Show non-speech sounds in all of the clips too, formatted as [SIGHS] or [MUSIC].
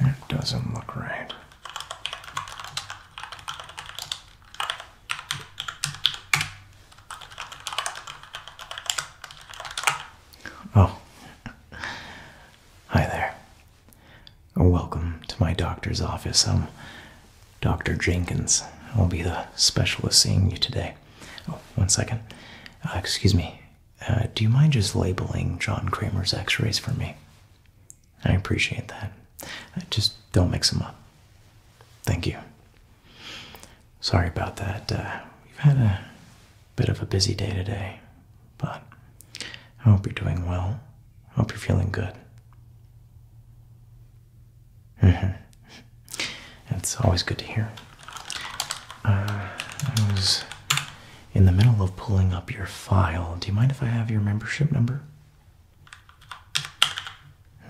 It doesn't look right. Oh, hi there. Welcome to my doctor's office. I'm Dr. Jenkins will be the specialist seeing you today. Oh, one second. Uh, excuse me. Uh, do you mind just labeling John Kramer's x rays for me? I appreciate that. Uh, just don't mix them up. Thank you. Sorry about that. we've had a bit of a busy day today, but I hope you're doing well. I hope you're feeling good. It's [LAUGHS] always good to hear. Uh, I was in the middle of pulling up your file. Do you mind if I have your membership number?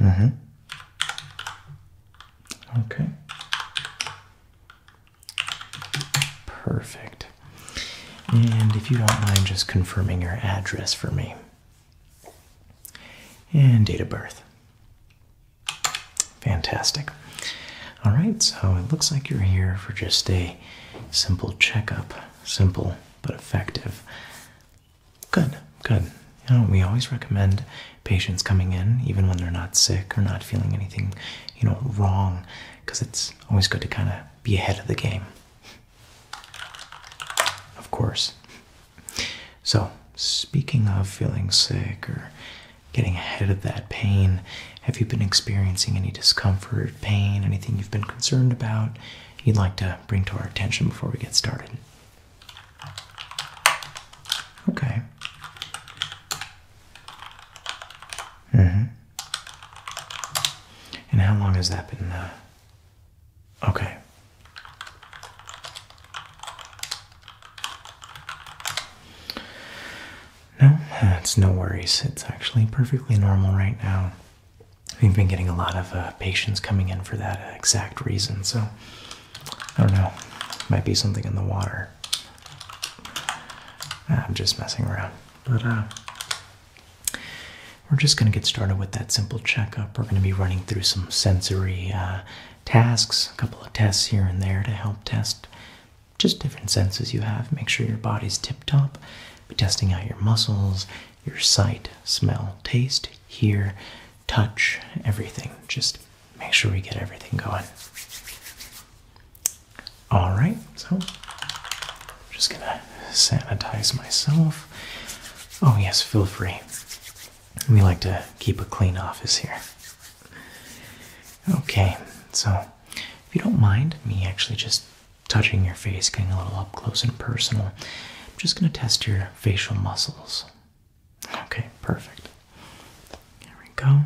Mm-hmm. Okay. Perfect. And if you don't mind just confirming your address for me and date of birth. Fantastic. All right, so it looks like you're here for just a simple checkup. Simple but effective. Good, good. You know, we always recommend patients coming in, even when they're not sick or not feeling anything, you know, wrong, because it's always good to kind of be ahead of the game. Of course. So, speaking of feeling sick or getting ahead of that pain, have you been experiencing any discomfort, pain, anything you've been concerned about you'd like to bring to our attention before we get started? Okay. Mm-hmm. And how long has that been uh, Okay. No, it's no worries. It's actually perfectly normal right now. We've been getting a lot of uh, patients coming in for that exact reason, so I don't know. Might be something in the water. Ah, I'm just messing around. But, uh, we're just going to get started with that simple checkup. We're going to be running through some sensory uh, tasks, a couple of tests here and there to help test just different senses you have. Make sure your body's tip top. Be testing out your muscles, your sight, smell, taste, hear, touch, everything. Just make sure we get everything going. All right, so just gonna sanitize myself. Oh, yes, feel free. We like to keep a clean office here. Okay, so if you don't mind me actually just touching your face, getting a little up close and personal, I'm just going to test your facial muscles. Okay, perfect. There we go.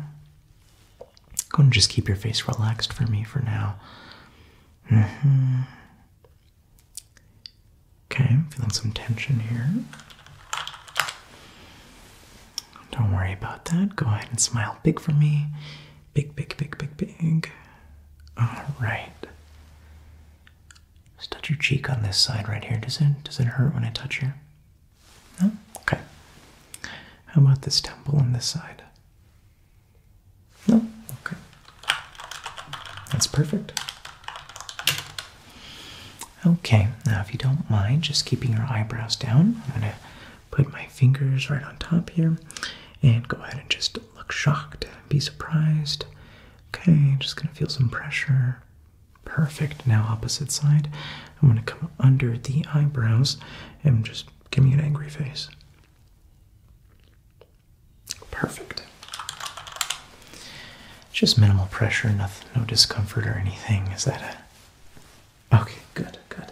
Going to just keep your face relaxed for me for now. Mm -hmm. Okay, I'm feeling some tension here. Don't worry about that. Go ahead and smile big for me. Big, big, big, big, big. Alright. Just touch your cheek on this side right here. Does it does it hurt when I touch here? No? Okay. How about this temple on this side? No? Okay. That's perfect. Okay, now if you don't mind just keeping your eyebrows down, I'm going to put my fingers right on top here and go ahead and just look shocked, be surprised. Okay, just going to feel some pressure. Perfect. Now, opposite side, I'm going to come under the eyebrows and just give me an angry face. Perfect. Just minimal pressure, no discomfort or anything. Is that Okay, good, good.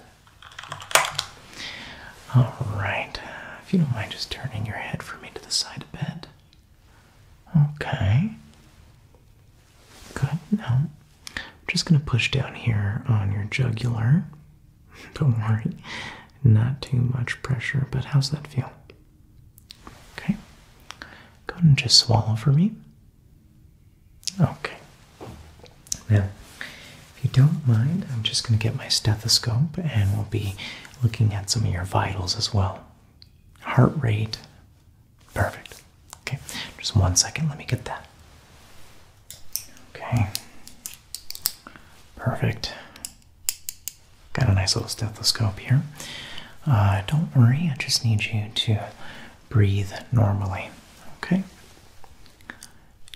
All right. If you don't mind just turning your head for me to the side of bed. Okay. Good. Now, I'm just going to push down here on your jugular. [LAUGHS] Don't worry, not too much pressure, but how's that feel? Okay. Go ahead and just swallow for me. Okay. Now, if you don't mind, I'm just going to get my stethoscope and we'll be looking at some of your vitals as well. Heart rate. Perfect. Okay. Just one second. Let me get that. Okay. Perfect. Got a nice little stethoscope here. Uh, don't worry, I just need you to breathe normally. Okay?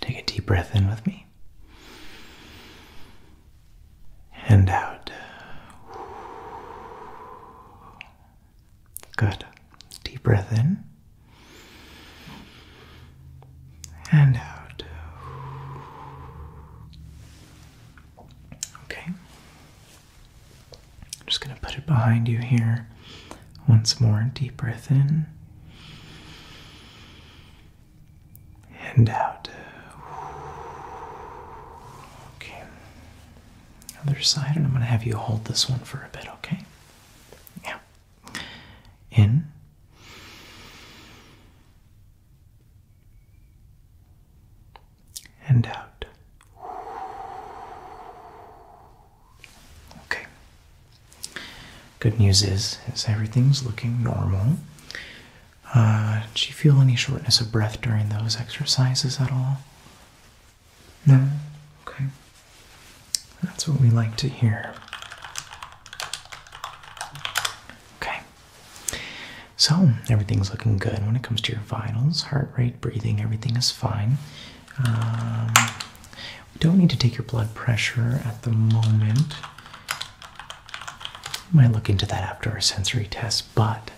Take a deep breath in with me. And out. Good. Deep breath in. And out. Okay. I'm just going to put it behind you here once more. Deep breath in and out. Okay. Other side, and I'm going to have you hold this one for a bit, okay? Yeah. In and out. Okay. Good news is, everything's looking normal. Uh, did you feel any shortness of breath during those exercises at all? No? Okay. That's what we like to hear. Okay. So, everything's looking good when it comes to your vitals, heart rate, breathing, everything is fine. Um, we don't need to take your blood pressure at the moment. We might look into that after our sensory test, but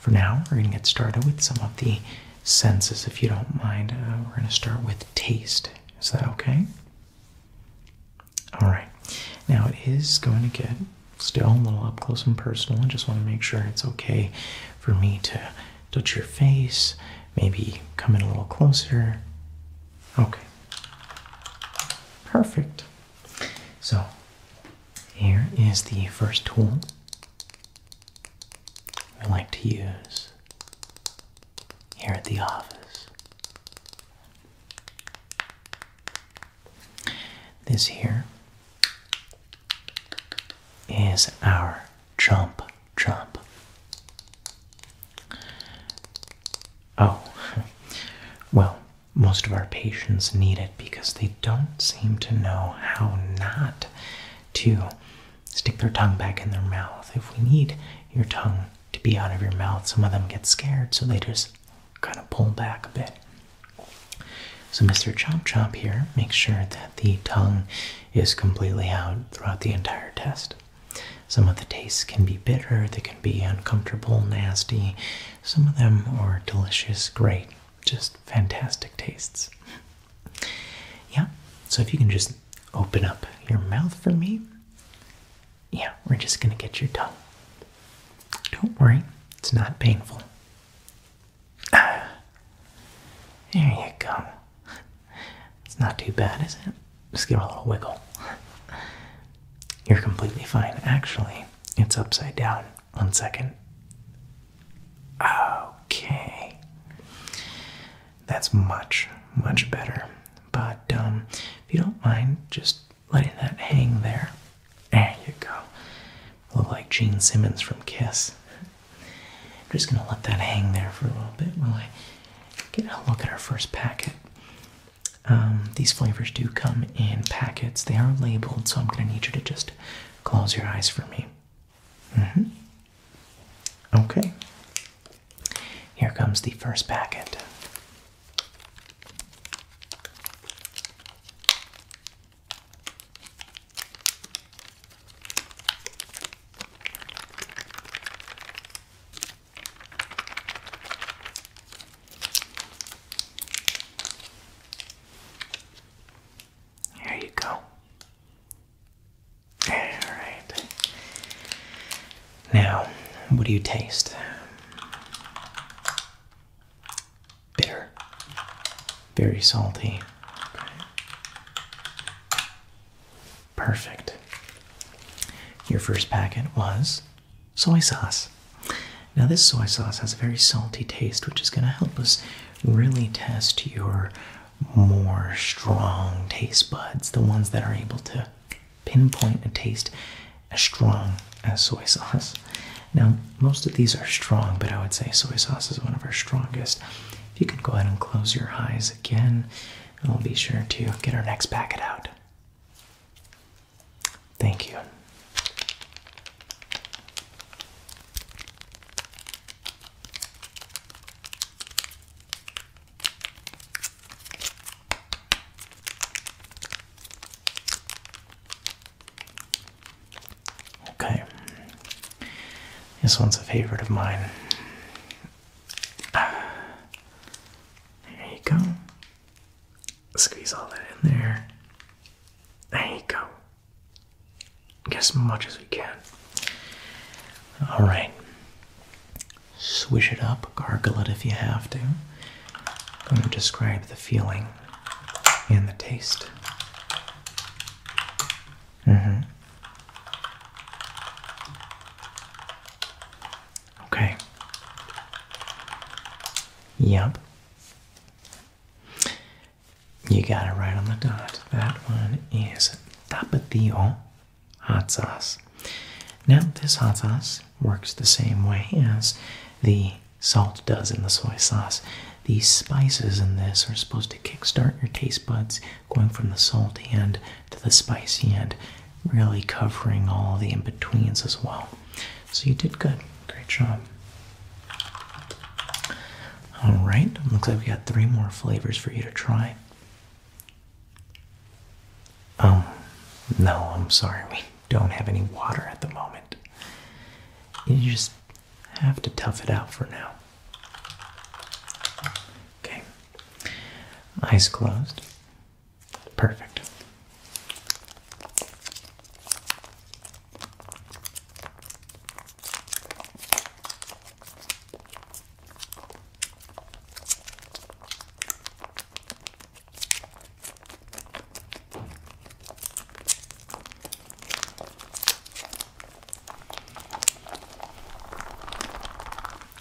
for now, we're going to get started with some of the senses, if you don't mind. Uh, we're going to start with taste. Is that okay? All right. Now, it is going to get still a little up close and personal I just want to make sure it's okay for me to touch your face, maybe come in a little closer. Okay. Perfect. So, here is the first tool we like to use here at the office. This here is our jump jump. Oh, [LAUGHS] well, most of our patients need it because they don't seem to know how not to stick their tongue back in their mouth. If we need your tongue to be out of your mouth, some of them get scared, so they just kind of pull back a bit. So Mr. Chomp Chomp here Make sure that the tongue is completely out throughout the entire test. Some of the tastes can be bitter, they can be uncomfortable, nasty. Some of them are delicious, great, just fantastic tastes. Yeah, so if you can just open up your mouth for me. Yeah, we're just gonna get your tongue. Don't worry, it's not painful there you go. It's not too bad, is it? Just give it a little wiggle. You're completely fine. Actually, it's upside down. One second. Okay. That's much, much better. But um, if you don't mind, just Letting that hang there. There you go. Look like Gene Simmons from Kiss. I'm just gonna let that hang there for a little bit while I get a look at our first packet. Um, these flavors do come in packets. They are labeled, so I'm gonna need you to just close your eyes for me. -hmm. Okay. Here comes the first packet. There you go. All right. Now, what do you taste? bitter, very salty. Perfect. Your first packet was soy sauce. Now, this soy sauce has a very salty taste, which is going to help us really test your more strong taste buds, the ones that are able to pinpoint a taste, a strong as soy sauce. Now, most of these are strong, but I would say soy sauce is one of our strongest. If you could go ahead and close your eyes again, and we'll be sure to get our next packet out. Thank you. Okay. This one's a favorite of mine. There you go. Squeeze all that in there. There you go. Get as much as we can. Alright. Swish it up, gargle it if you have to. to describe the feeling and the taste. Mm-hmm. Okay. Yep. You got it right on the dot. That one is tapatio hot sauce. Now, this hot sauce works the same way as the salt does in the soy sauce. These spices in this are supposed to kickstart your taste buds going from the salt end to the spicy end, really covering all the in betweens as well. So you did good. Great job. Alright, looks like we got three more flavors for you to try. Oh, no, I'm sorry. We don't have any water at the moment. You just I have to tough it out for now. Okay. Eyes closed. Perfect.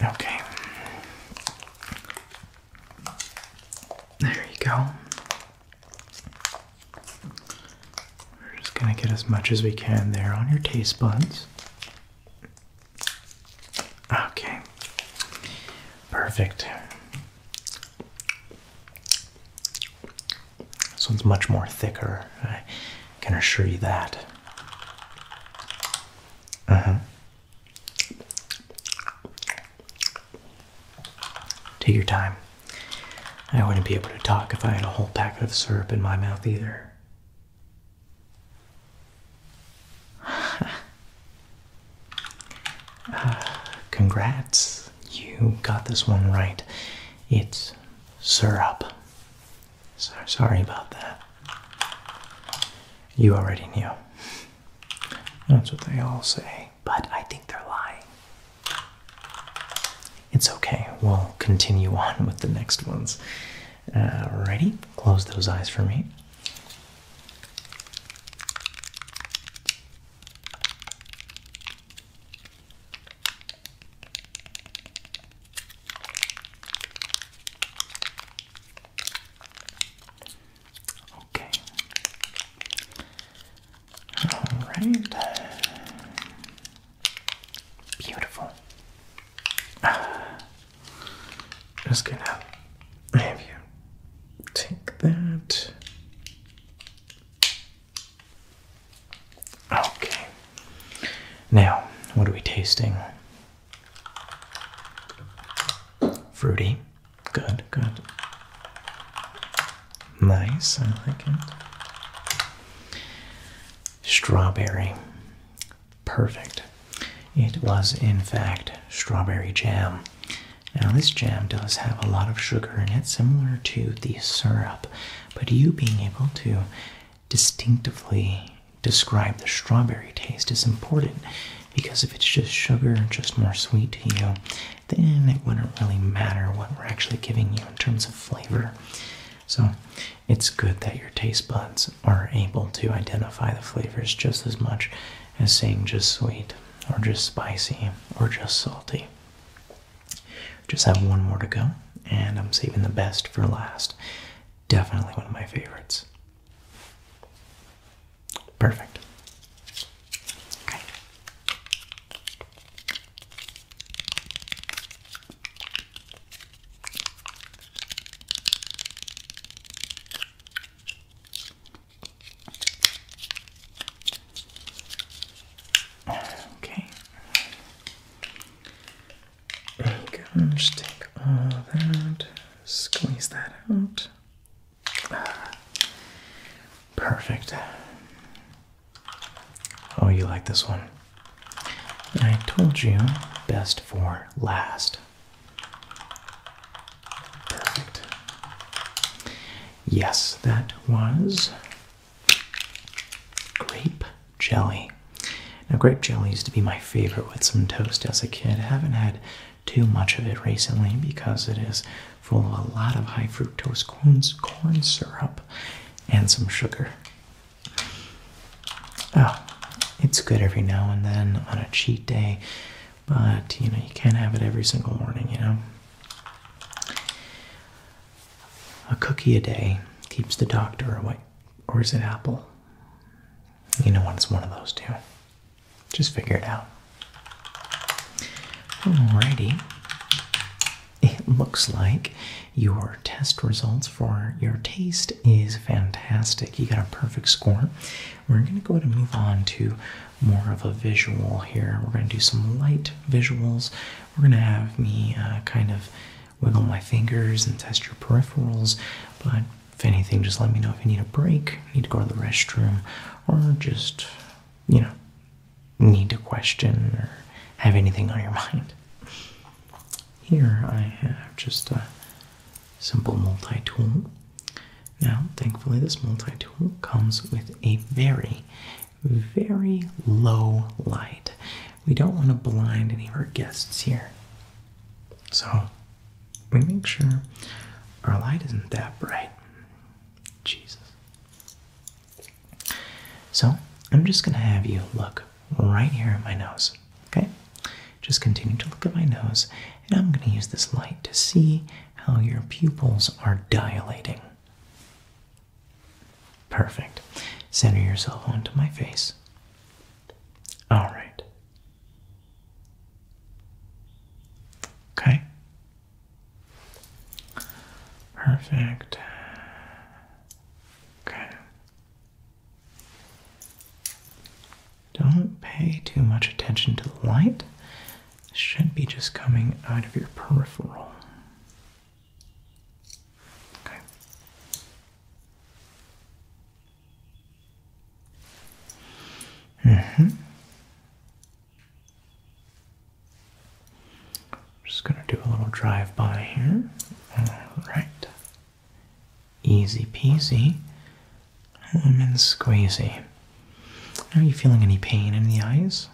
Okay. There you go. We're just going to get as much as we can there on your taste buds. Okay. Perfect. This one's much more thicker, I can assure you that. Uh -huh. Take your time. I wouldn't be able to talk if I had a whole packet of syrup in my mouth either. [SIGHS] congrats you got this one right. It's syrup. sorry about that. You already knew. That's what they all say. But I think they're lying. It's okay. We'll continue on with the next ones. Uh, ready? Close those eyes for me. Okay. All right. Beautiful. [SIGHS] Just gonna have you take that. Okay. Now, what are we tasting? Fruity. Good, good. Nice, I like it. Strawberry. Perfect. It was, in fact, strawberry jam. Now, this jam does have a lot of sugar in it, similar to the syrup but you being able to distinctively describe the strawberry taste is important because if it's just sugar, just more sweet to you, then it wouldn't really matter what we're actually giving you in terms of flavor. So it's good that your taste buds are able to identify the flavors just as much as saying just sweet or just spicy or just salty. Just have one more to go, and I'm saving the best for last. Definitely one of my favorites. Perfect. Okay. go. Just take all that, squeeze that out. perfect. Oh, you like this one? I told you, best for last. Perfect. Yes, that was Grape jelly. Now, grape jelly used to be my favorite with some toast as a kid. I haven't had too much of it recently because it is full of a lot of high fructose corn syrup and some sugar. Oh, it's good every now and then on a cheat day, but you know, you can't have it every single morning, you know. A cookie a day keeps the doctor away. Or is it apple? You know what? It's one of those two. Just figure it out. Alrighty. It looks like your test results for your taste is fantastic. You got a perfect score. We're going to go ahead and move on to more of a visual here. We're going to do some light visuals we're going to have me uh, kind of wiggle my fingers and test your peripherals, but if anything, just let me know if you need a break, need to go to the restroom, or just, you know, need to question or have anything on your [LAUGHS] mind. Here I have just a simple multi-tool. Now, thankfully, this multi-tool comes with a very very low light. We don't want to blind any of our guests here. So we make sure our light isn't that bright. Jesus. So I'm just going to have you look right here at my nose. Okay? Just continue to look at my nose, and I'm going to use this light to see how your pupils are dilating. Perfect. Center yourself onto my face. All right. Okay. Perfect. Okay. Don't pay too much attention to the light. should be just coming out of your peripheral. Mm-hmm. I'm just gonna do a little drive by here. All right. Easy peasy. and squeezy. Are you feeling any pain in the eyes?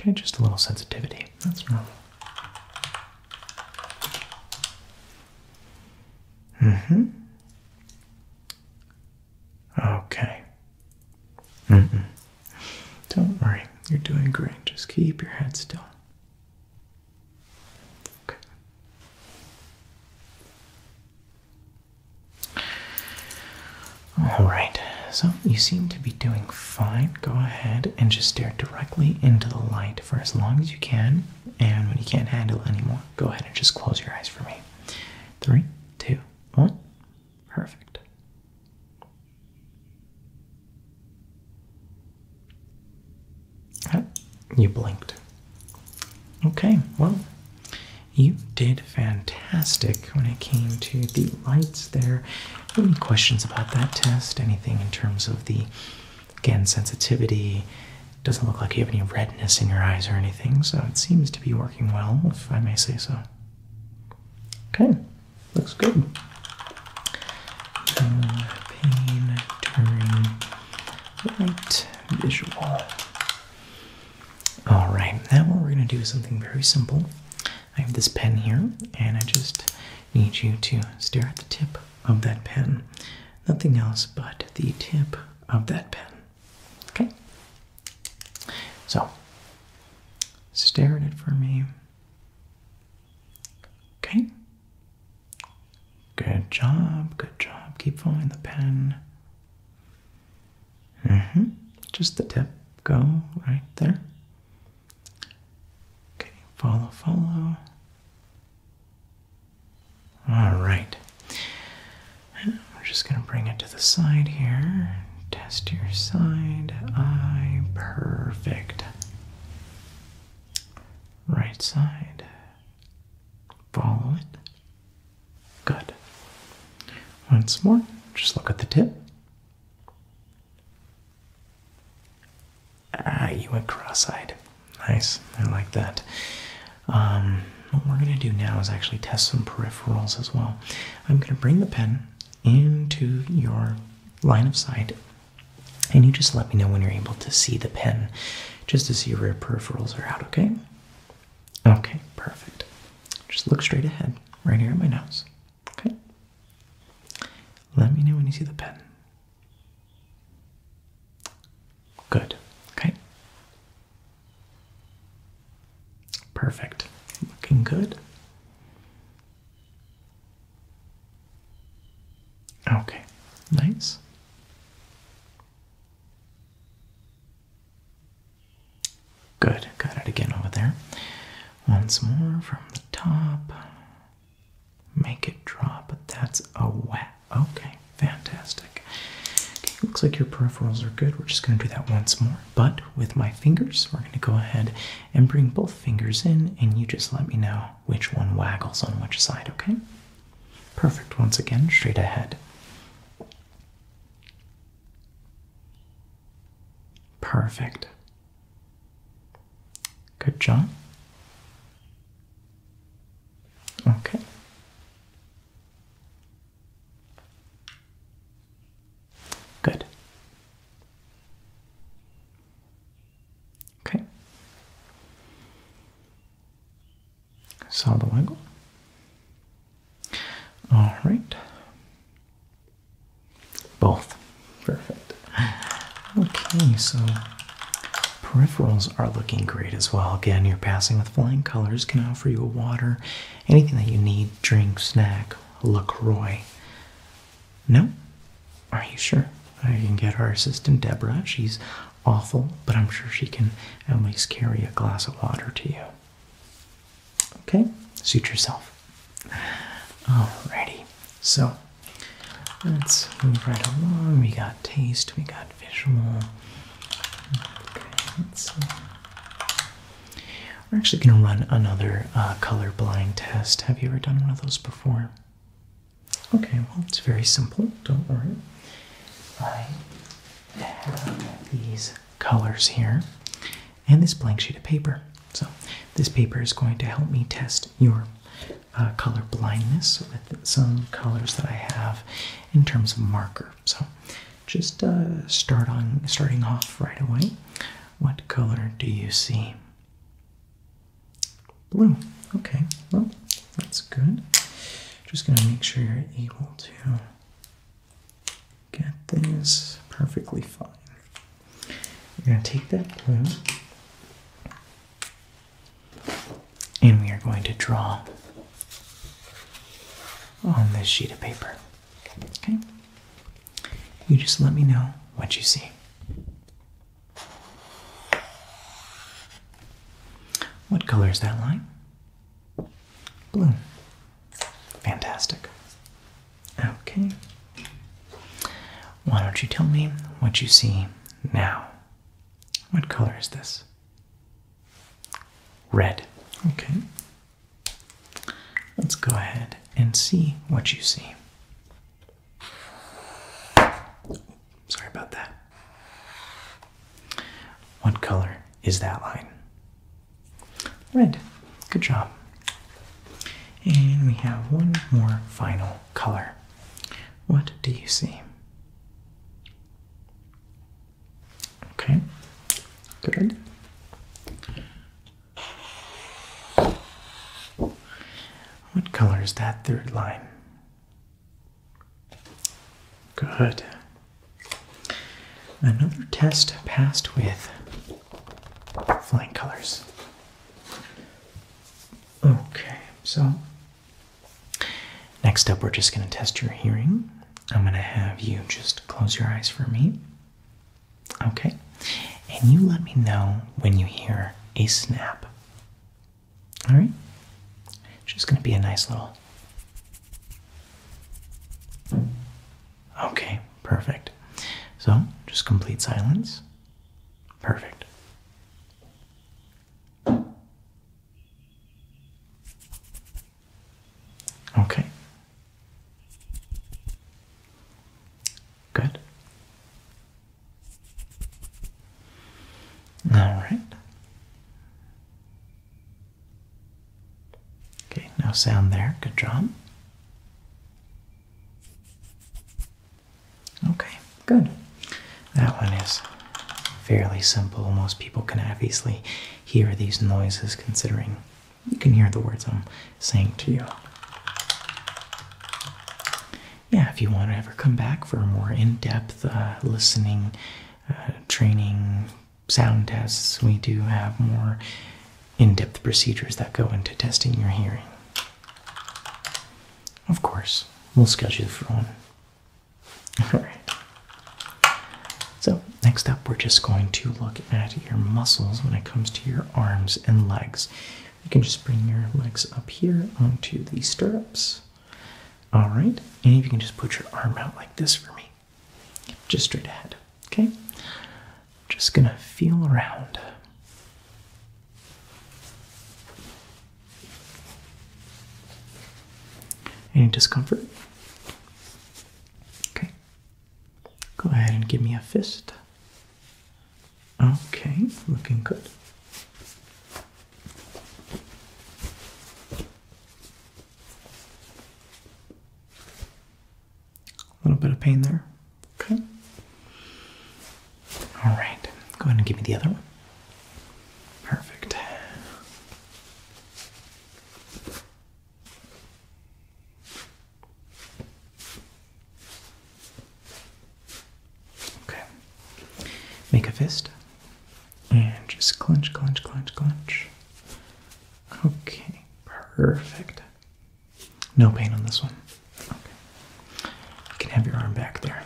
Okay, just a little sensitivity. That's normal. Mm-hmm. Okay. Mm -mm. Don't worry, you're doing great. Just keep your head still. Okay. All right, so you seem to be doing fine. Go ahead and just stare directly into the light for as long as you can. And when you can't handle anymore, go ahead and just close your eyes for me. Three, two, one. Perfect. You blinked. Okay, well, you did fantastic when it came to the lights there. Any questions about that test? Anything in terms of the, again, sensitivity? Doesn't look like you have any redness in your eyes or anything, so it seems to be working well, if I may say so. Okay, looks good. Uh, pain during light visual. All right, now what we're going to do is something very simple. I have this pen here, and I just need you to stare at the tip of that pen. Nothing else but the tip of that pen. Okay? So, stare at it for me. Okay? Good job, good job. Keep following the pen. hmm Just the tip. Go right there. Okay, follow, follow. All right. we're just going to bring it to the side here. Test your side eye. Perfect. Right side. Follow it. Good. Once more, just look at the tip. Ah, you went cross-eyed. Nice, I like that. Um, what we're gonna do now is actually test some peripherals as well. I'm gonna bring the pen into your line of sight, and you just let me know when you're able to see the pen, just to see where your peripherals are out. Okay. Okay, perfect. Just look straight ahead, right here at my nose. Okay. Let me know when you see the pen. Good. Okay. Perfect. Looking good. Okay. Nice. Good, got it again over there. Once more from the top. Make it drop, but that's a wet. Okay, fantastic. Okay, looks like your peripherals are good. We're just going to do that once more, but with my fingers, we're going to go ahead and bring both fingers in, and you just let me know which one waggles on which side, okay? Perfect. Once again, straight ahead. Perfect. Good job. Okay. Good. Okay. Saw the All right. Both. Perfect. Okay, so peripherals are looking great as well. Again, you're passing with flying colors, can I offer you a water, anything that you need, drink, snack, LaCroix. No? Are you sure? I can get our assistant Deborah. She's awful, but I'm sure she can at least carry a glass of water to you. Okay, suit yourself. Alrighty, so let's move right along. We got taste, we got visual. Okay, let's We're actually going to run another uh, color blind test. Have you ever done one of those before? Okay, well, it's very simple. Don't worry. I have these colors here and this blank sheet of paper. So this paper is going to help me test your uh, color blindness with some colors that I have in terms of marker. So just uh, start on starting off right away. What color do you see? Blue. Okay, well, that's good. Just going to make sure you're able to get this perfectly fine. We're going to take that blue and we are going to draw on this sheet of paper. Okay? You just let me know what you see. What color is that line? Blue. Fantastic. Okay. Why don't you tell me what you see now? What color is this? Red. Okay. Let's go ahead and see what you see. Sorry about that. What color is that line? red. Good job. And we have one more final color. What do you see? Okay, good. What color is that third line? Good. Another test passed with flying colors. Okay, so next up, we're just going to test your hearing. I'm going to have you just close your eyes for me. Okay, and you let me know when you hear a snap. All right, just going to be a nice little. Okay, perfect. So just complete silence. Perfect. Okay. Good. All right. Okay, no sound there. Good job. Okay, good. That one is fairly simple. Most people can obviously hear these noises considering you can hear the words I'm saying to you. Yeah, if you want to ever come back for more in depth uh, listening, uh, training, sound tests, we do have more in depth procedures that go into testing your hearing. Of course, we'll schedule for one. [LAUGHS] Alright. So, next up, we're just going to look at your muscles when it comes to your arms and legs. You can just bring your legs up here onto the stirrups. Alright, and you can just put your arm out like this for me, just straight ahead. Okay? just gonna feel around. Any discomfort? Okay. Go ahead and give me a fist. Okay, looking good. A little bit of pain there. Okay. All right. Go ahead and give me the other one. Perfect. Okay. Make a fist and just clench, clench, clench, clench. Okay. Perfect. No pain on this one. You can have your arm back there.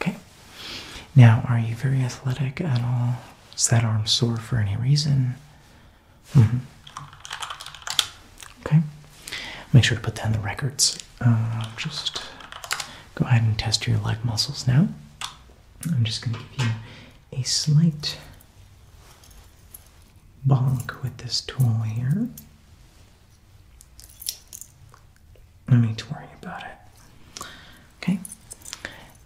Okay. Now, are you very athletic at all? Is that arm sore for any reason? Mm -hmm. Okay. Make sure to put that in the records. Uh, just go ahead and test your leg muscles now. I'm just going to give you a slight bonk with this tool here. No need to worry about it. Okay?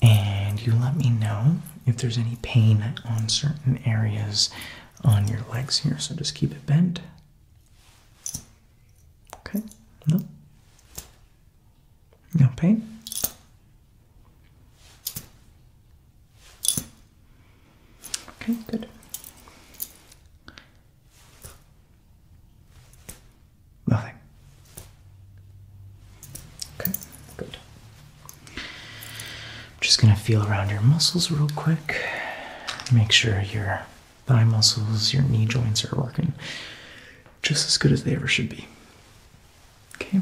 And you let me know if there's any pain on certain areas on your legs here. So just keep it bent. Okay? No? No pain? Okay, good. Nothing. Okay, good. just going to feel around your muscles real quick. Make sure your thigh muscles, your knee joints are working just as good as they ever should be. Okay,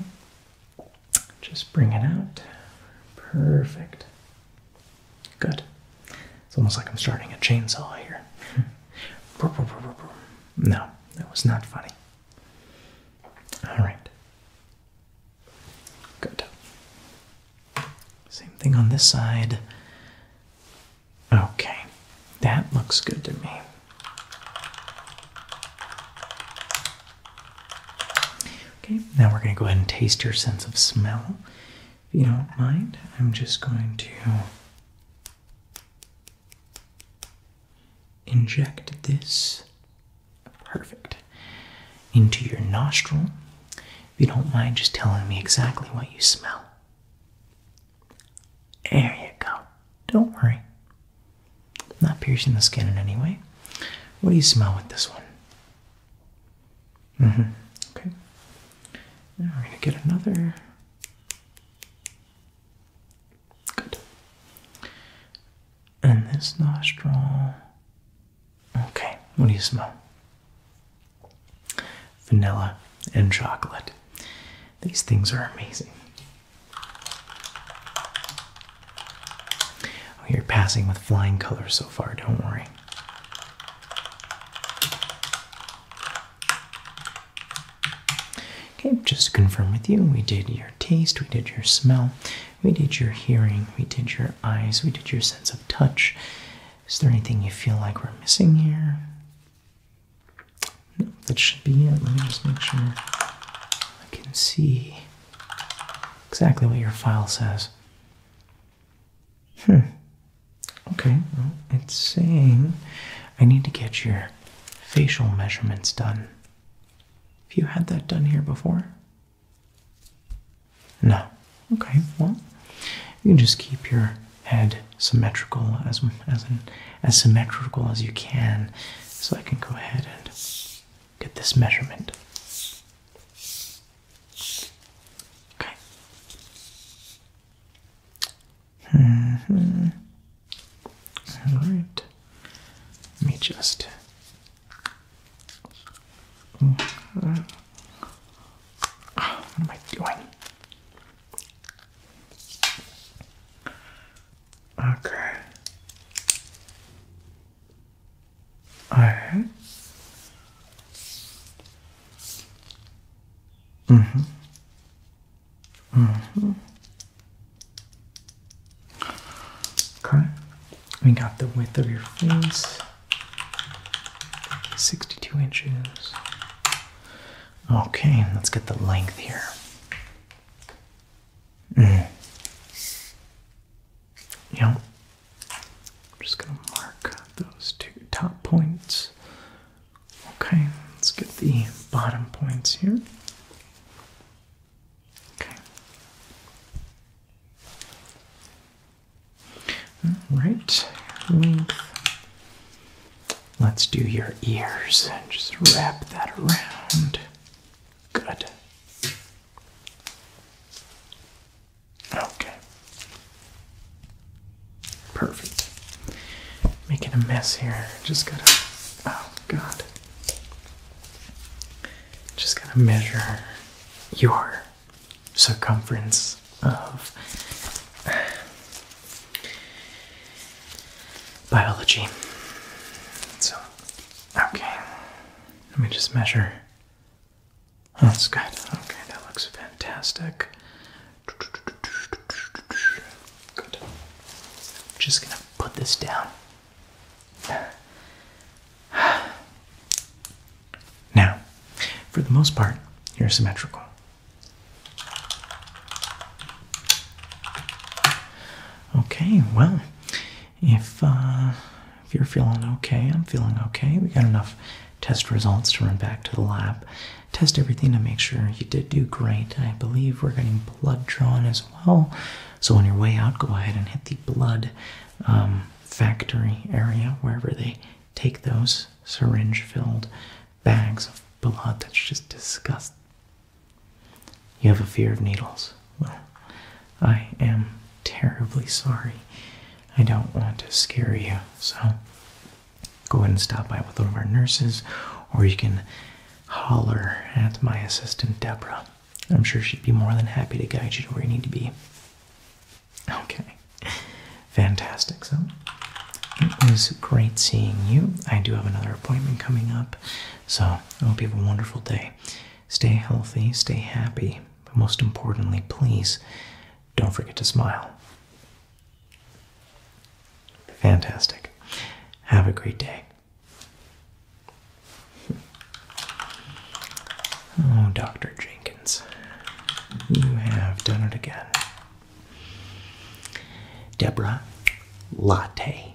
just bring it out. Perfect. Good. It's almost like I'm starting a chainsaw here. [LAUGHS] no, that was not funny. Alright. Good. Same thing on this side. Okay, that looks good to me. Okay, now we're going to go ahead and taste your sense of smell. If you don't mind, I'm just going to inject this perfect into your nostril. If you don't mind just telling me exactly what you smell. There you go. Don't worry. Not piercing the skin in any way. What do you smell with this one? Mm hmm. Okay. Now we're going to get another. Good. And this nostril. Okay. What do you smell? Vanilla and chocolate. These things are amazing. Oh, you're passing with flying colors so far, don't worry. Okay, just to confirm with you, we did your taste, we did your smell, we did your hearing, we did your eyes, we did your sense of touch. Is there anything you feel like we're missing here? No, that should be it. Let me just make sure I can see exactly what your file says. Hmm. Okay, well, it's saying I need to get your facial measurements done. Have you had that done here before? No. Okay, well, you can just keep your head symmetrical as, as an as symmetrical as you can. So I can go ahead and get this measurement. Okay. Mm-hmm. All right. Let me just. what am I doing? Okay. Alright. Mm-hmm. Mm-hmm. Okay. We got the width of your face. 62 inches. Okay, let's get the length here. Mm. just gonna mark those two top points. Okay, let's get the bottom points here. Okay. All right, Let's do your ears and just wrap that around. Good. Okay. Perfect. Making a mess here. Just gotta. Oh, God. Just gotta measure your circumference of biology. So Okay, let me just measure. Oh, that's good. Okay, that looks fantastic. Good. Just gonna put this down. Now, for the most part, you're symmetrical. Okay, well, if uh, if you're feeling okay, I'm feeling okay. We got enough test results to run back to the lab, test everything to make sure you did do great. I believe we're getting blood drawn as well. So on your way out, go ahead and hit the blood um, factory area wherever they take those syringe-filled bags of blood. That's just disgusting. You have a fear of needles. Well, I am terribly sorry. I don't want to scare you, so go ahead and stop by with one of our nurses, or you can holler at my assistant, Deborah. I'm sure she'd be more than happy to guide you to where you need to be. Okay, fantastic. So it was great seeing you. I do have another appointment coming up, so, I hope you have a wonderful day. Stay healthy, stay happy, but most importantly, please don't forget to smile. Fantastic. Have a great day. Oh, Dr. Jenkins, you have done it again. Deborah Latte.